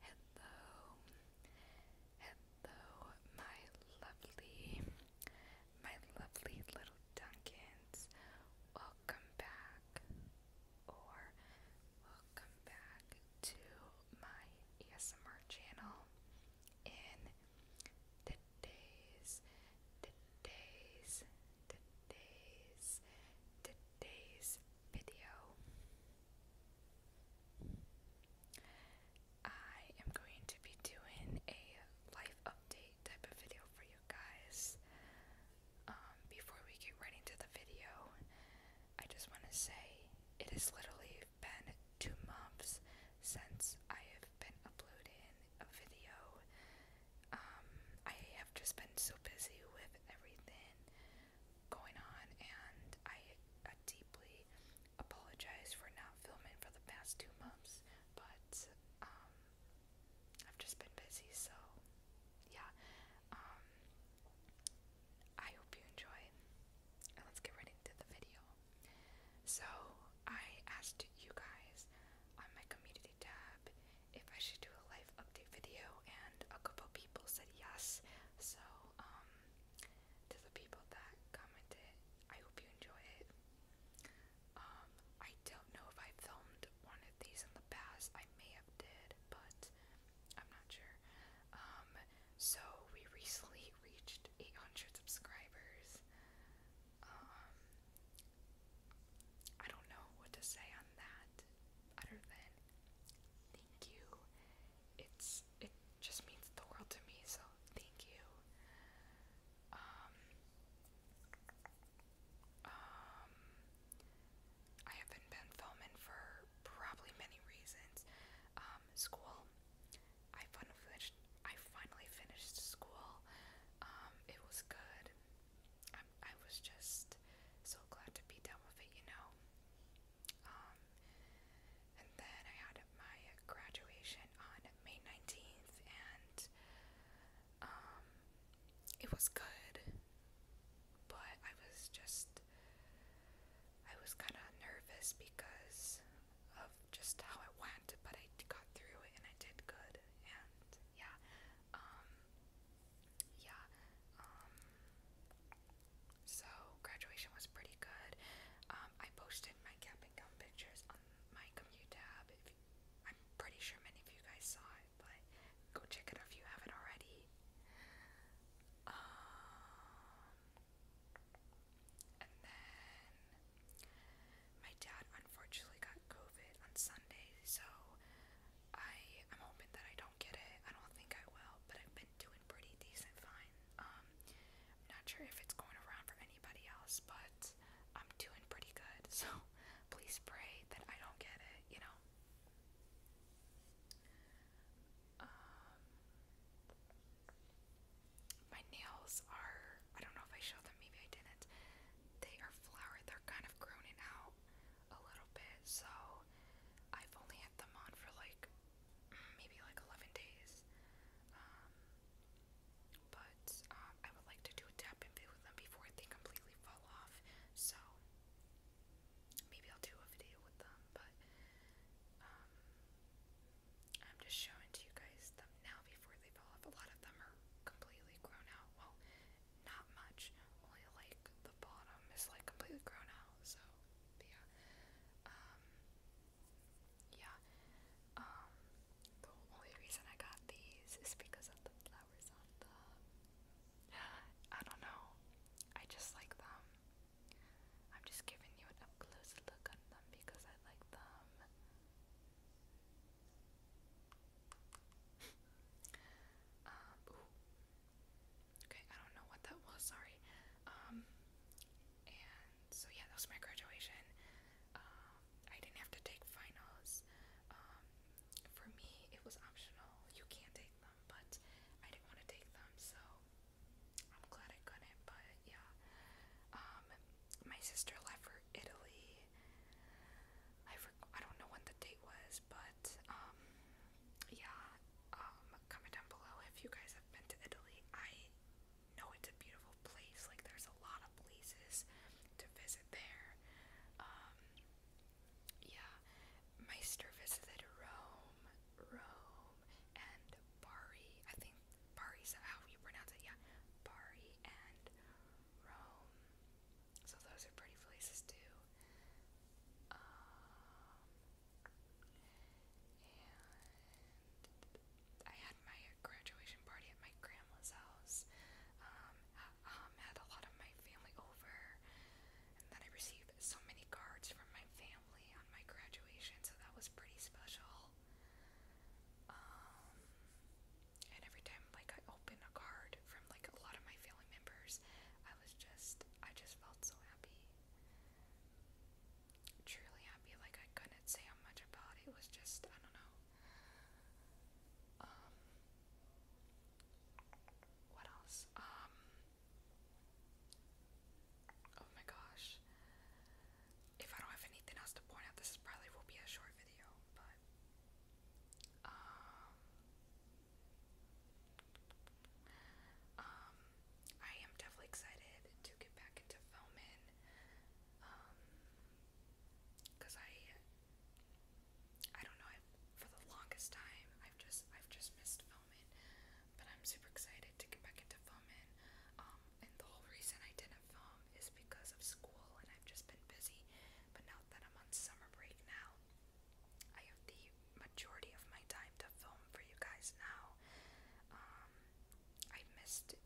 Hello, hello, my lovely, my lovely little Dunkins. Welcome back, or welcome back to my ASMR channel in the days, the days, the days, the days video. I am going to be doing a life update type of video for you guys. Um, before we get right into the video, I just want to say it is literally I've been two months since I have been uploading a video. Um, I have just been so busy with everything going on, and I, I deeply apologize for not filming for the past two months, but um, I've just been busy, so yeah. Um, I hope you enjoy, and let's get right into the video. So, I asked you guys on my community tab if I should do a life update video, and a couple people said yes. So, um, to the people that commented, I hope you enjoy it. Um, I don't know if I filmed one of these in the past. I may have did, but I'm not sure. Um, so we recently reached 800 subscribers. Um, I don't know what to say on that other than thank you. It's it just means the world to me, so thank you. um, um I haven't been filming for probably many reasons. Um, school. I finally finished. I finally finished school. Um, it was good. I, I was just so glad to be done with it, you know. Um, and then I had my graduation on May nineteenth, and um, it was good but I was just I was kind of nervous because of just how it went, but I got through it and I did good. And yeah, um, yeah, um, so graduation was pretty good. Um, I posted my cap and gown pictures on my commute tab. If, I'm pretty sure many of you guys saw but go check it if you haven't already. Um, and then my dad unfortunately got COVID on Sunday, so I am hoping that I don't get it. I don't think I will, but I've been doing pretty decent fine. Um, not sure if it's going around for anybody else, but I'm doing pretty good. So please pray that I don't get it, you know. Um, my nails are, I don't know if I showed them, maybe I didn't. They are flowered, they're kind of growing out a little bit, so I've only had them on for like maybe like 11 days. Um, but um, I would like to do a tap and play them before they completely fall off, so Maybe I'll do a video with them, but um, I'm just showing to you guys them now before they fall off. A lot of them are completely grown out. Well, not much. Only like the bottom is like completely grown out. So yeah, um, yeah. Um, the only reason I got these is because of the flowers on the I don't know. I just like them. I'm just giving you an up close look on them because I like them. Um, okay, I don't know what that was, sorry. Um, and so yeah, that was my graduation. Um, I didn't have to take finals for me, it was optional. You can't take them, but I didn't want to take them, so I'm glad I got it. But yeah, um, my sister left for Italy. I for, I don't know when the date was, but um, yeah. Um, comment down below if you guys have been to Italy. I know it's a beautiful place. Like there's a lot of places to visit there. Um, yeah, Meister visited Rome, Rome, and Bari. I think Bari's how you pronounce it. Yeah, Bari and Rome. So those are pretty places too. Um, and I had had my graduation party at my grandma's house. Um, I, um, had a lot of my family over, and then I received so many cards from my family on my graduation, so that was pretty special. Um, and every time like I open a card from like a lot of my family members, I was just I just felt so happy. Truly happy, like I couldn't say how much about it. It was just I don't know. Um, what else? Um, oh my gosh. If I don't have anything else to point out, this probably will be a short video, but um, um, I am definitely excited to get back into filming. Cause I, I don't know. I for the longest time, I've just I've just missed filming, but I'm super excited to get back into filming. Um, and the whole reason I didn't film is because of school, and I've just been busy. But now that I'm on summer break now, I have the majority of my time to film for you guys now. Um, I missed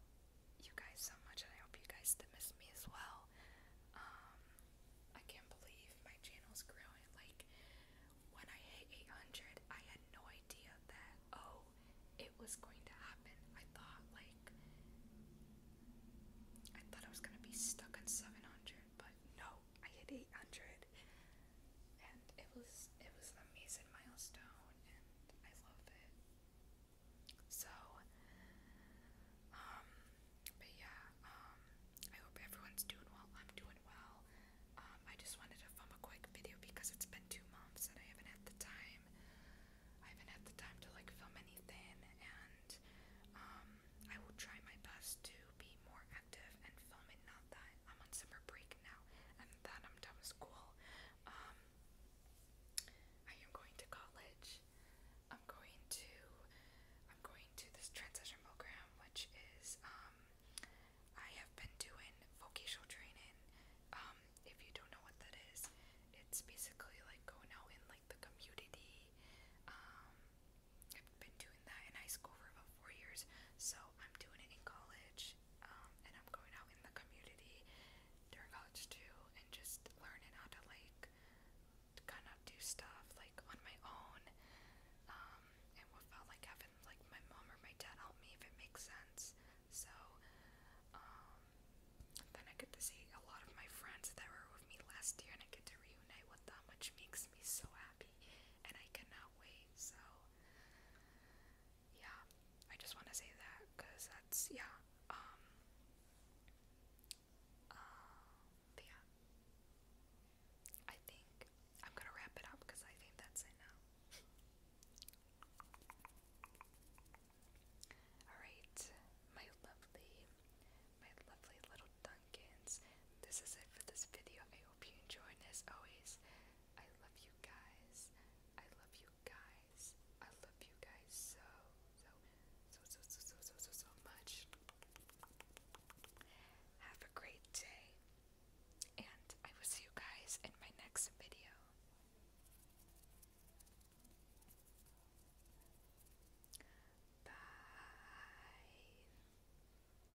you guys so much, and I hope you guys miss me as well. Um, I can't believe my channel's growing. Like, when I hit 800, I had no idea that, oh, it was going to happen. I thought, like, I thought I was gonna be stuck at 700, but no, I hit 800, and it was it was amazing milestone and I love it. So, um, but yeah, um, I hope everyone's doing well. I'm doing well. Um, I just wanted to film a quick video because it's been two months and I haven't had the time. I haven't had the time to like film anything, and I will try my best to be more active and film it. Not that I'm on summer break now and that I'm done with school, um, I am going to college. I'm going to I'm going to this transition program, which is um, I have been doing vocational training. Um, if you don't know what that is, it's basically like going out in like the community. Um, I've been doing that in high school for about four years, so I'm doing it in college college, um, and I'm going out in the community during college too, and just learning how to like kind of do stuff like on my own, um, and what felt like having like my mom or my dad help me if it makes sense. So, um, then I get to see a lot of my friends that were with me last year, and I get to reunite with them, which makes me so happy, and I cannot wait. So yeah, I just want to say that because that's yeah. Um, uh, yeah, I think I'm gonna wrap it up because I think that's it now. All right, my lovely, my lovely little Dunkins. This is it for this video. I hope you enjoyed. As always, I love you guys. I love you guys. I love you guys so, so, so, so, so, so, so, so, much. Have a great day. And I will see you guys in my next video. Bye.